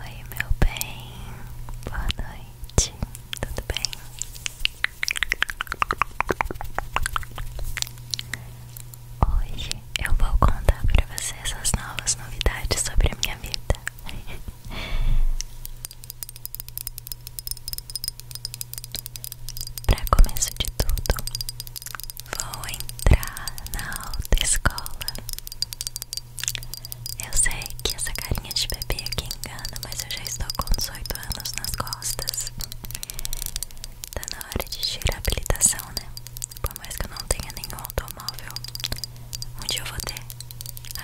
Oi, meu bem, boa noite, tudo bem? Hoje eu vou contar para você essas novas novidades sobre a minha vida. Para começo de tudo, Vou entrar na escola Eu sei que essa carinha de bebê aqui engana, mas eu já estou com 18 anos nas costas. Tá na hora de tirar a habilitação, né? Por mais que eu não tenha nenhum automóvel, um dia eu vou ter.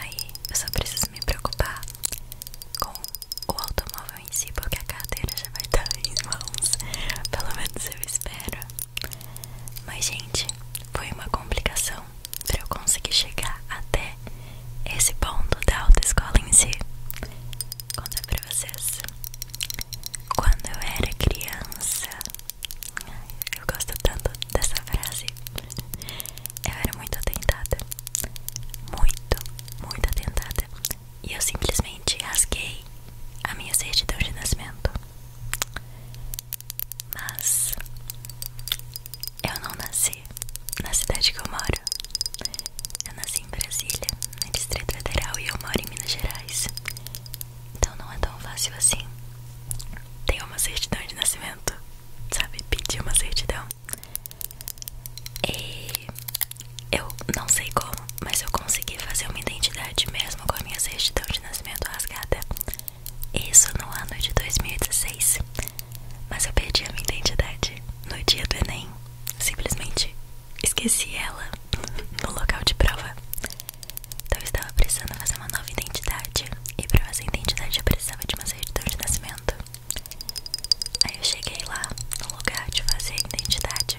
Aí eu só preciso me preocupar com o automóvel em si, porque a carteira já vai estar em mãos. Pelo menos eu espero. Mas, gente, foi uma complicação para eu conseguir chegar até esse ponto da autoescola em si. Conta para vocês. Quando eu era criança, eu gosto tanto dessa frase. Eu era muito atentada. Muito, muito atentada e eu simplesmente rasguei a minha certidão de nascimento. Mas eu não nasci na cidade que eu moro. Eu nasci em Brasília, na Distrito Federal, e eu moro em Minas Gerais. Então não é tão fácil assim. Ter uma certidão de nascimento, sabe? Pedir uma certidão. E eu não sei como, mas eu consegui fazer uma identidade mesmo com a minha certidão de nascimento rasgada. Isso no ano de 2016. Mas eu perdi a minha identidade no dia do Enem. Simplesmente esqueci ela no local de prova. Então eu estava precisando fazer uma nova identidade. E para fazer identidade eu precisava de uma certidão de nascimento. Aí eu cheguei lá no lugar de fazer a identidade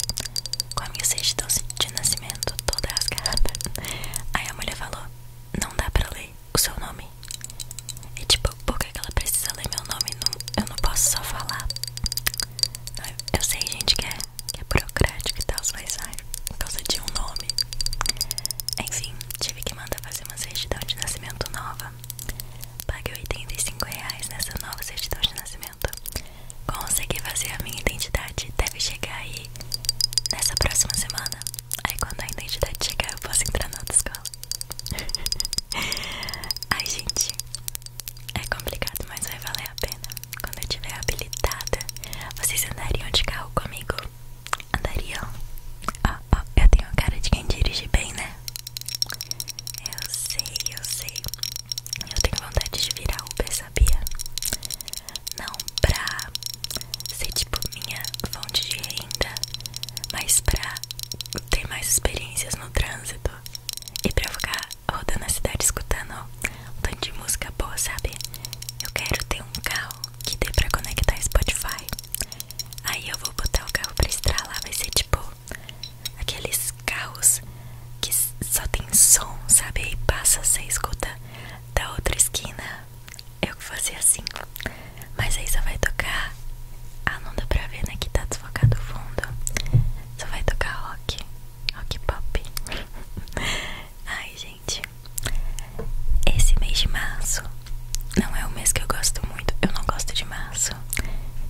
com a minha certidão de nascimento toda rasgada. Aí a mulher falou: Não dá pra ler o seu nome. E tipo, por que ela precisa ler meu nome? eu não posso só falar. eu, sei, gente, é, que é, burocrático e tal, mas ai, por causa de um nome. Enfim, tive que mandar fazer uma certidão de nascimento nova. Paguei 85 reais nessa nova certidão de nascimento. Consegui fazer a minha identidade Deve chegar aí Nessa próxima semana Aí quando a identidade chegar eu posso entrar na outra escola Ai gente É complicado Mas vai valer a pena Quando eu tiver habilitada Vocês andariam de carro comigo? Andariam? Ó, oh, ó, eu tenho cara de quem dirige bem, né? Eu sei, eu sei. Eu tenho vontade de virar Uber, sabia? Não pra ser tipo minha fonte de renda, mas pra ter mais experiências no trânsito e pra ficar rodando a cidade escutando um tanto de música boa, sabe? Eu quero ter um carro que dê pra conectar a Spotify. Aí eu vou botar o carro pra estralar, vai ser tipo Aqueles carros que só tem som, sabe? e passa, você escuta da outra esquina. Eu que fazia assim. Mas aí só vai tocar. Ah, não dá pra ver, né? Que tá desfocado o fundo. Só vai tocar rock. Rock pop. Ai, gente. Esse mês de março não é o mês que eu gosto muito. Eu não gosto de março.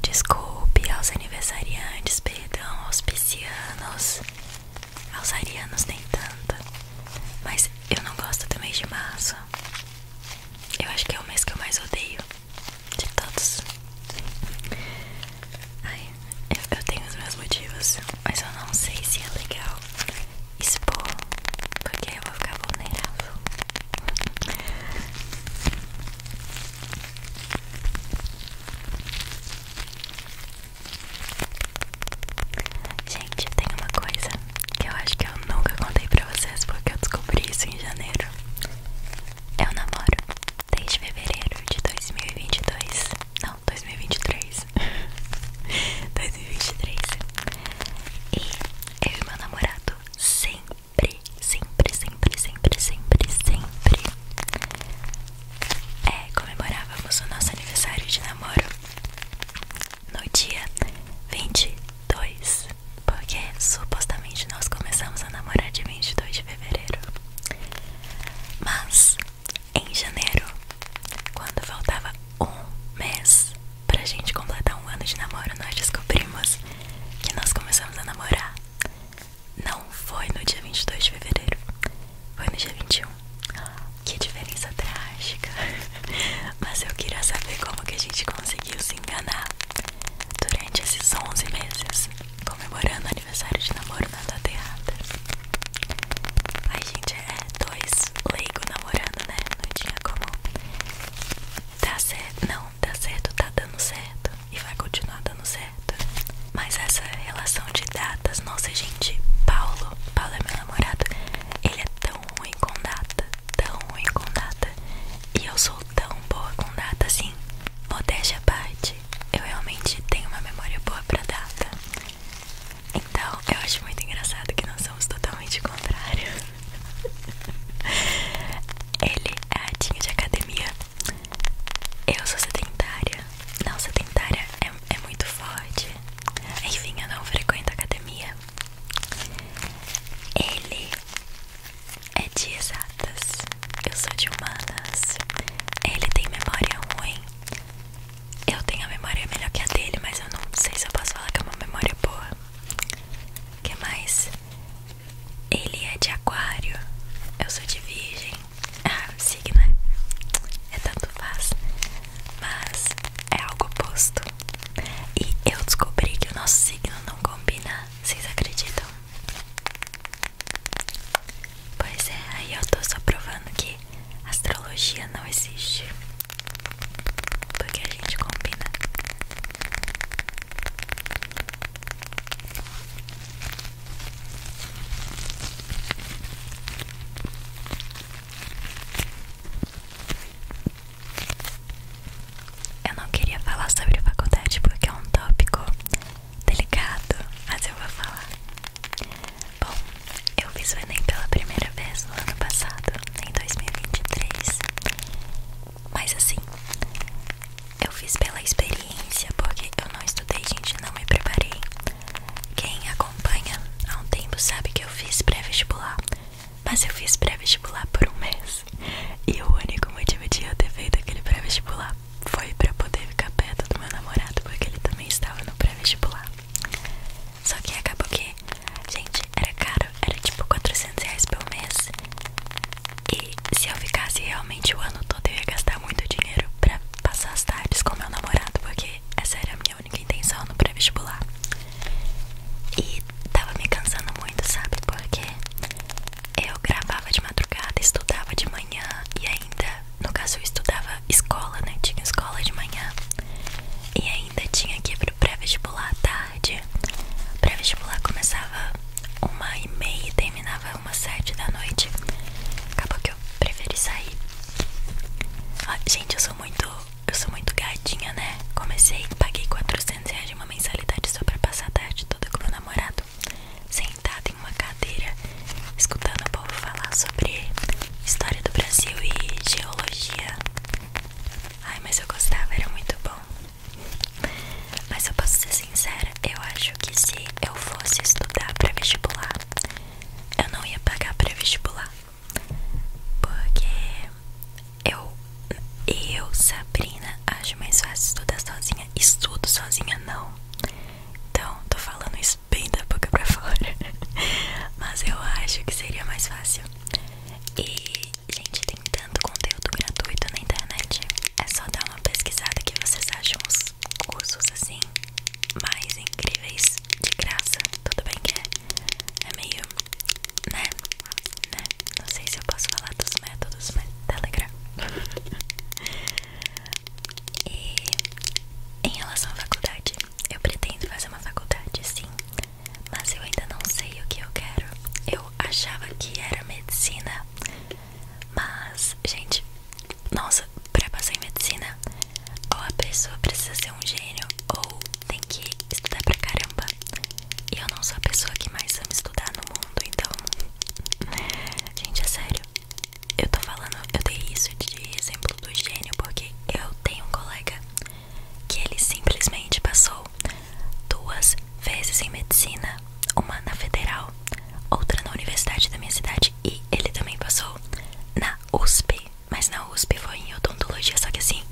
Desculpe aos aniversariantes, perdão aos piscianos. Aos arianos nem tanto. Mas eu não gosto do mês de março. Eu acho que é o mês que eu mais odeio. De todos. eu, tenho os meus motivos. Mas eu não sei se é legal expor. Porque eu vou ficar vulnerável. Gente, tem uma coisa que eu acho que eu nunca contei pra vocês porque eu descobri isso em janeiro. Eu namoro desde fevereiro de 2022. Não, 2023. 2023. E eu e meu namorado sempre sempre, sempre, sempre, sempre, sempre, sempre é, comemorávamos o nosso aniversário de namoro no dia 22, porque supostamente nós começamos a namorar dia 22 de fevereiro. Mas em janeiro, quando faltava um mês pra gente completar um ano de namoro, nós descobrimos que nós começamos a namorar. Não foi no dia 22 de fevereiro, foi no dia 21. Que diferença trágica Mas eu queria saber como que a gente conseguiu se enganar durante esses 11 meses, comemorando aniversário de namoro na data errada. Ai, gente, é dois leigos namorando, né? Não tinha como. Tá certo, não, tá certo, tá dando certo e vai continuar dando certo. Mas essa relação de datas, nossa gente, Paulo, Paulo é meu namorado, ele é tão ruim com data, tão ruim com data. E eu sou tão boa com data assim. Modéstia à parte, eu realmente tenho uma memória boa pra data. Então eu acho muito engraçado que nós somos totalmente contrários. Ele é ratinho de academia. Eu sou sedentária. Não, sedentária é, é muito forte. Enfim, eu não frequento academia. Ele é de exatas. Eu sou de humanas. Ele tem memória ruim. Eu tenho a memória melhor que a dele, mas eu não sei se eu posso falar que é uma memória boa que mais? Ele é de aquário, eu sou de virgem. Ah, signo é, é tanto faz, mas é algo oposto. E eu descobri que o nosso signo não combina, vocês acreditam? Pois é, aí eu tô só provando que astrologia não existe. Porque a gente combina. Eu não queria falar sobre faculdade porque é um tópico delicado, mas eu vou falar. Bom, eu fiz o Enem pela primeira vez no ano passado em 2023. Mas assim, eu fiz pela experiência, porque eu não estudei, gente, não me preparei. Quem acompanha há um tempo sabe que eu fiz pré-vestibular, mas eu fiz pré-vestibular por um mês. E o único motivo de eu ter feito aquele pré-vestibular foi pra poder ficar perto do meu namorado, porque ele também estava no pré-vestibular. Só que acabou que, gente, era caro, era tipo 400 reais por mês. E se eu ficasse realmente o ano todo, eu ia gastar muito dinheiro pra passar as tardes com meu namorado, porque essa era a minha única intenção no pré-vestibular. E tava me cansando muito, sabe? Porque eu gravava de madrugada, estudava de manhã e ainda, no caso, estudava escola, né? Tinha escola de manhã e ainda tinha que pro pré-vestibular à tarde. O pré-vestibular começava uma e meia e terminava umas sete da noite. Acabou que eu preferi sair. Ah, gente, eu sou muito. Eu sou muito gadinha, né? Comecei, paguei 400 reais de uma mensalidade só pra passar a tarde toda com meu namorado, sentado em uma cadeira, escutando o povo falar sobre história do Brasil e geologia. Ai, mas eu gostava, era muito bom. Mas eu posso ser sincera, eu acho que se eu fosse estudar para vestibular, eu não ia pagar para vestibular. Porque eu eu, Sabrina, acho mais fácil estudar sozinha. Estudo sozinha não. Então, tô falando isso bem da boca pra fora. Mas eu acho que seria mais fácil e, gente, tem tanto conteúdo gratuito na internet. É só dar uma pesquisada que vocês acham os cursos assim mais incríveis de graça. Tudo bem que é, é, meio, né? né? Não sei se eu posso falar dos métodos, mas Telegram. Tá e em relação à faculdade, eu pretendo fazer uma faculdade, sim mas eu ainda não sei o que eu quero. Eu achava que era medicina, mas, gente, nossa, pra passar em medicina, ou a pessoa precisa ser um gênio, ou tem que estudar pra caramba. E eu não sou a pessoa que mais ama estudar no mundo, então. Gente, é sério. Eu tô falando, eu dei isso de exemplo do gênio, porque eu tenho um colega que ele simplesmente passou duas vezes em medicina, uma na federal, outra na universidade da minha cidade e ele também passou na USP, mas na USP foi em odontologia, só que assim,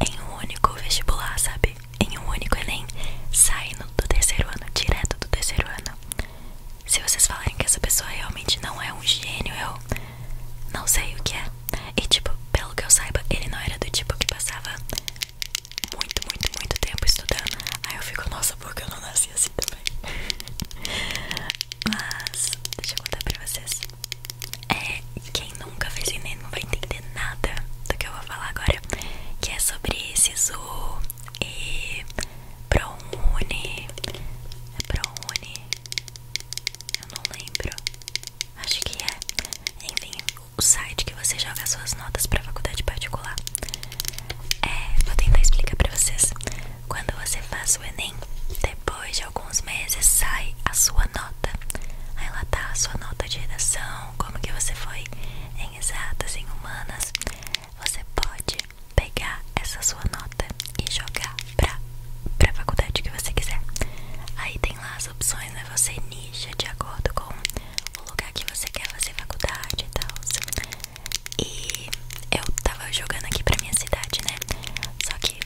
em um único vestibular, sabe? Em um único Enem, saindo do terceiro ano, direto do terceiro ano. Se vocês falarem que essa pessoa realmente não é um gênio, eu não sei o que é. E tipo, pelo que eu saiba, ele não era do tipo que passava muito, muito, muito tempo estudando. Aí eu fico, nossa, porque eu não nasci assim também. Mas, deixa eu contar pra vocês. É, quem nunca fez Enem não vai entender nada do que eu vou falar agora. Que é sobre SISU e ProUni. É ProUni. Eu não lembro. Acho que é. Enfim, o site que você joga suas notas para faculdade particular. É, vou tentar explicar para vocês. Quando você faz o Enem, depois de alguns meses sai a sua nota. Aí lá tá a sua nota de redação, como que você foi em exatas, em humanas. Você pode pegar essa sua nota e jogar pra, pra faculdade que você quiser. Aí tem lá as opções, né? Você nicha de acordo com o lugar que você quer fazer faculdade e tal. E eu tava jogando aqui pra minha cidade, né? Só que.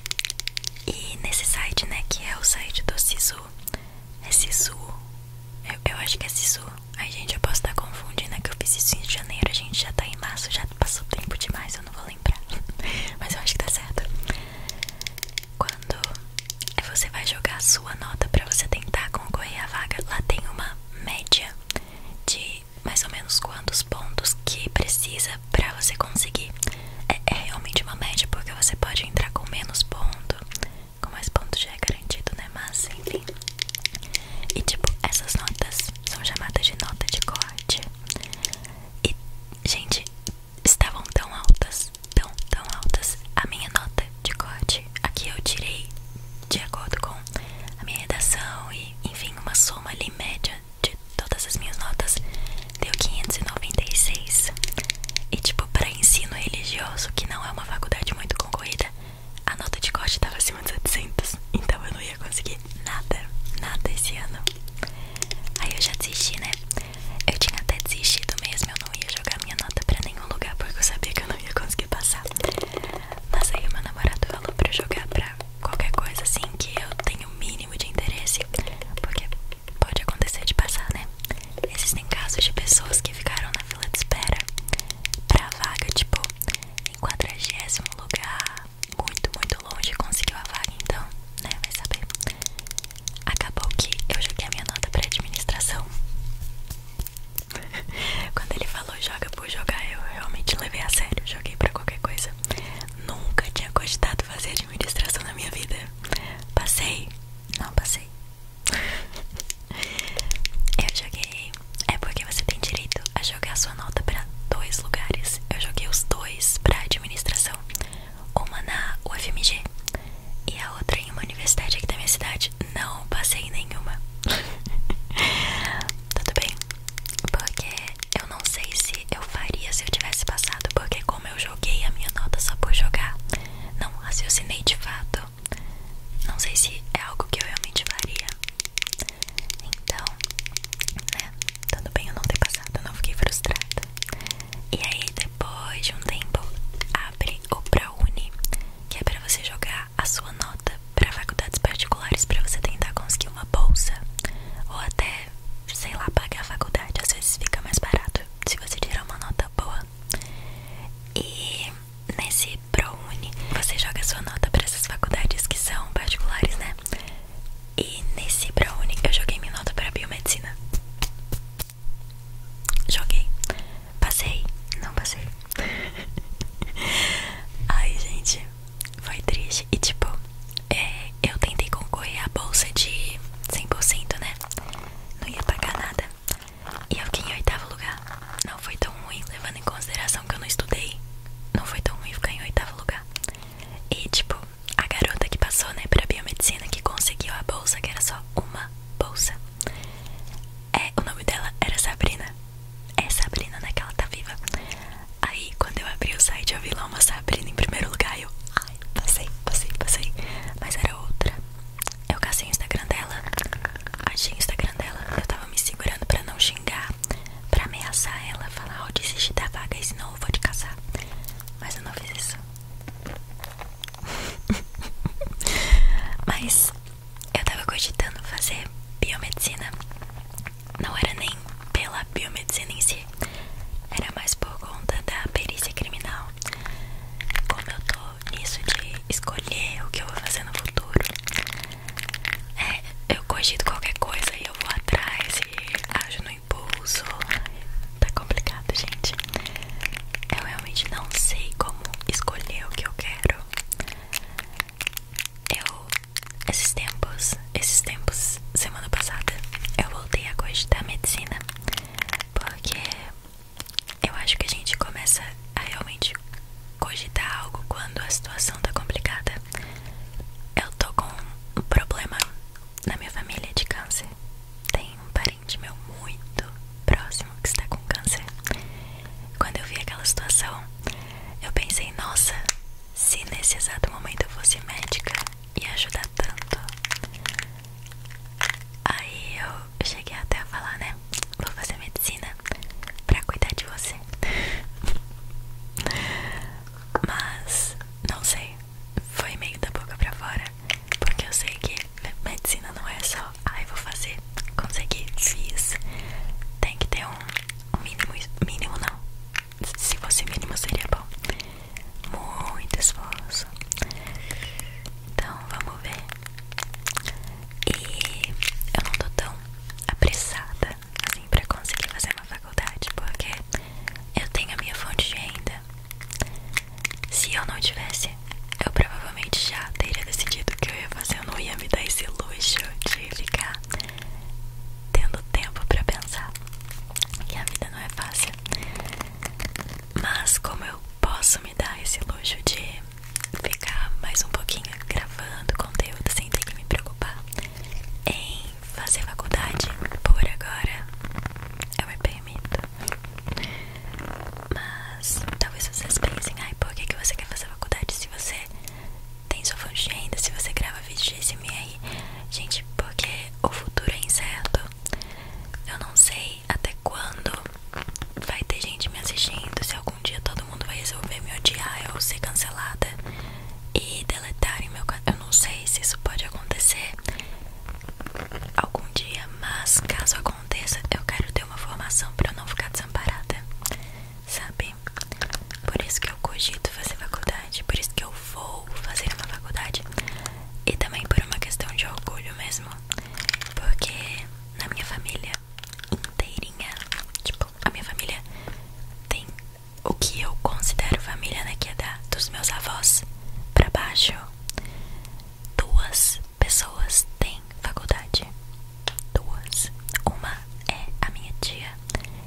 E nesse site, né? Que é o site do Sisu. É Sisu. Eu, acho que é Sisu. Ai, gente, eu posso estar confundindo, né? Que eu fiz isso em janeiro. A gente já tá em março, já passou tempo demais. Eu não vou Mas eu acho que tá certo Quando você vai jogar sua nota pra você tentar concorrer à vaga Lá tem uma média de mais ou menos quantos pontos que precisa pra você conseguir é, é realmente uma média porque você pode entrar com menos ponto Com mais pontos já é garantido, né? Mas enfim E tipo, essas notas são chamadas de nota de corte e, gente, estavam tão altas, tão, tão altas. A minha nota de corte, aqui eu tirei de acordo com a minha redação e, enfim, uma soma ali média de todas as minhas notas deu 596. E, tipo, para ensino religioso, que não é uma faculdade muito concorrida, a nota de corte tava acima de 700, então eu não ia conseguir nada, nada esse ano. Aí eu já desisti, né? Eu tinha até desistido mesmo, eu não ia jogar minha nota pra nenhum lugar porque eu sabia que eu não ia conseguir passar. Mas aí o meu namorado falou pra eu jogar pra qualquer coisa assim que eu tenha o mínimo de interesse. Porque pode acontecer de passar, né? Existem casos de pessoas que ficaram na fila de espera pra vaga, tipo, em quadragésimo lugar, muito, muito longe e conseguiu a vaga, então, né, vai saber. Acabou que eu joguei a minha nota pra administração. Quando ele falou joga por jogar, eu realmente levei a sério, joguei pra qualquer coisa. Nunca tinha cogitado fazer administração na minha vida. Passei? Não, passei. eu joguei é porque você tem direito a jogar sua nota para dois lugares. Eu joguei os dois para administração, uma na UFMG e a outra em uma universidade aqui da minha cidade. Não passei em nenhuma. Tudo bem? Porque eu não sei se eu faria se eu tivesse passado, porque como eu joguei a minha nota só por jogar, não raciocinei de fato. Não sei se é algo que eu realmente faria. Então, né? Tudo bem eu não ter passado, eu não fiquei frustrada. E aí, depois de um tempo, abre o ProUni, que é pra você jogar a sua nota pra faculdades particulares pra você tentar conseguir uma bolsa. Ou até, sei lá, pagar a faculdade. Às vezes fica mais barato se você tirar uma nota boa. E nesse e ProUni. Você joga sua nota para essas faculdades que são particulares, né? E nesse ProUni eu joguei minha nota para biomedicina. Joguei. Passei. Não passei. Ai, gente. Foi triste. E tipo, é, eu tentei concorrer à bolsa de 100%, né? Não ia pagar nada. E eu fiquei em oitavo lugar não foi tão ruim, levando em consideração que eu não estudei. Não foi tão ruim ficar em oitavo lugar. E, tipo, a garota que passou, né, pra biomedicina, que conseguiu a bolsa, que era só uma bolsa. É, o nome dela era Sabrina. É Sabrina, né, que ela tá viva. Aí, quando eu abri o site, eu vi lá uma Sabrina em primeiro lugar. Eu, ai, passei, passei, passei. Mas era outra. Eu cacei o Instagram dela. Achei o Instagram dela. Eu tava me segurando pra não xingar lá pra ameaçar ela, falar, ó, oh, da vaga, e senão eu vou te casar. Mas eu não fiz isso. Mas eu tava cogitando fazer biomedicina. Não era nem pela biomedicina em si, era mais por conta da perícia criminal. Como eu tô nisso de escolher o que eu vou fazer no futuro, é, eu cogito qualquer coisa e eu vou atrás e ajo no impulso. Tá complicado, gente. Eu realmente não sei como escolher o que eu quero. Eu, esses tempos, esses tempos, semana passada, eu voltei a cogitar medicina porque eu acho que a gente começa a realmente cogitar algo quando a situação tá complicada. Eu tô com um problema na minha família de câncer. Tem um parente meu muito próximo que está com câncer. Quando eu vi aquela situação, eu pensei, nossa, se nesse exato momento eu fosse médica, ia ajudar tanto. Aí eu cheguei até a falar, né? vou fazer medicina pra cuidar de você. Mas, não sei, foi meio da boca pra fora, porque eu sei que medicina não é só, aí vou fazer, consegui, fiz. Tem que ter um, um mínimo, mínimo não, se fosse mínimo seria bom. Muito esforço. Então, vamos ver e eu não tô tão apressada assim pra conseguir fazer uma faculdade, porque eu tenho a minha fonte de renda. Se eu não tivesse, eu provavelmente já teria decidido o que eu ia fazer. Eu não ia me dar esse luxo de ficar tendo tempo pra pensar. E a vida não é fácil. Mas como eu posso me dar esse luxo de ficar mais um pouquinho gravando conteúdo sem ter que me preocupar em fazer faculdade por agora. Eu me permito. Mas talvez vocês pensem, ai, por que, que você quer fazer faculdade se você tem sua fonte ainda, se você grava vídeos de SMR? Gente, porque o futuro é incerto. Eu não sei até quando vai ter gente me assistindo. Se algum dia todo mundo vai resolver me odiar ou ser cancelada e deletarem meu canal, eu não sei se isso pode acontecer algum dia, mas caso aconteça, eu quero ter uma formação para não ficar desamparada, sabe? Por isso que eu cogito fazer faculdade, por isso que eu vou fazer uma faculdade e também por uma questão de orgulho mesmo, porque na minha família inteirinha. Tipo, a minha família tem o que eu considero família, né? Que é dos meus avós pra baixo. Duas pessoas têm faculdade. Duas. Uma é a minha tia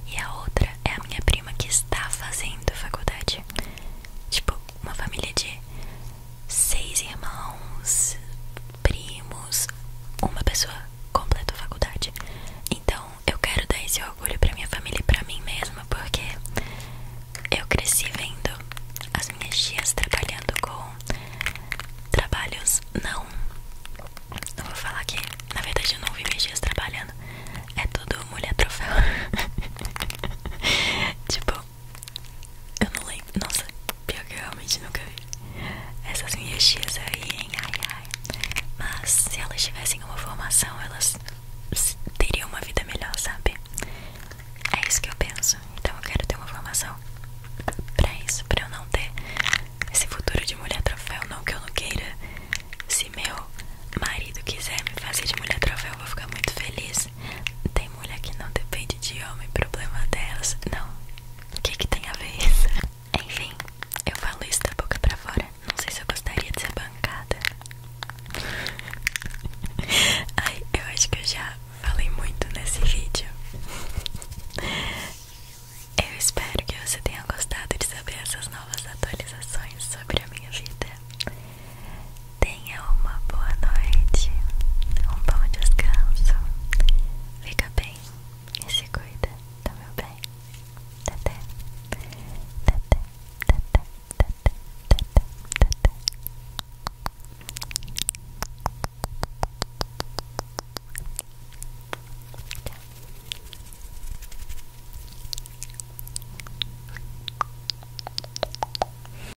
e a outra é a minha prima que está fazendo faculdade. Tipo, uma família de seis irmãos, primos, uma pessoa completa a faculdade. Então eu quero dar esse orgulho pra minha família e pra mim mesma, porque eu cresci vendo as minhas tias trabalhando com trabalhos não. Não vou falar que, na verdade, eu não vi minhas tias trabalhando. É tudo mulher troféu. tipo, eu não lembro. Nossa, pior que eu realmente nunca vi. Essas minhas tias aí, hein? Ai, ai. Mas se elas tivessem uma formação, elas teriam uma vida melhor, sabe? É isso que eu penso. Então eu quero ter uma formação pra isso, pra eu não ter esse futuro de mulher troféu. Não que eu não queira. Se meu marido quiser me fazer de mulher troféu, eu vou ficar muito feliz. Tem mulher que não depende de homem, problema delas. Não. O que, que tem a ver isso? Enfim, eu falo isso da boca pra fora. Não sei se eu gostaria de ser bancada. Ai, eu acho que eu já falei muito nesse vídeo. Eu espero que você tenha gostado de saber essas novas atualizações sobre a minha vida. Tenha uma boa noite, um bom descanso. Fica bem e se cuida, tá meu bem? Tete, tete, tete, tete, tete, tete. Tchau.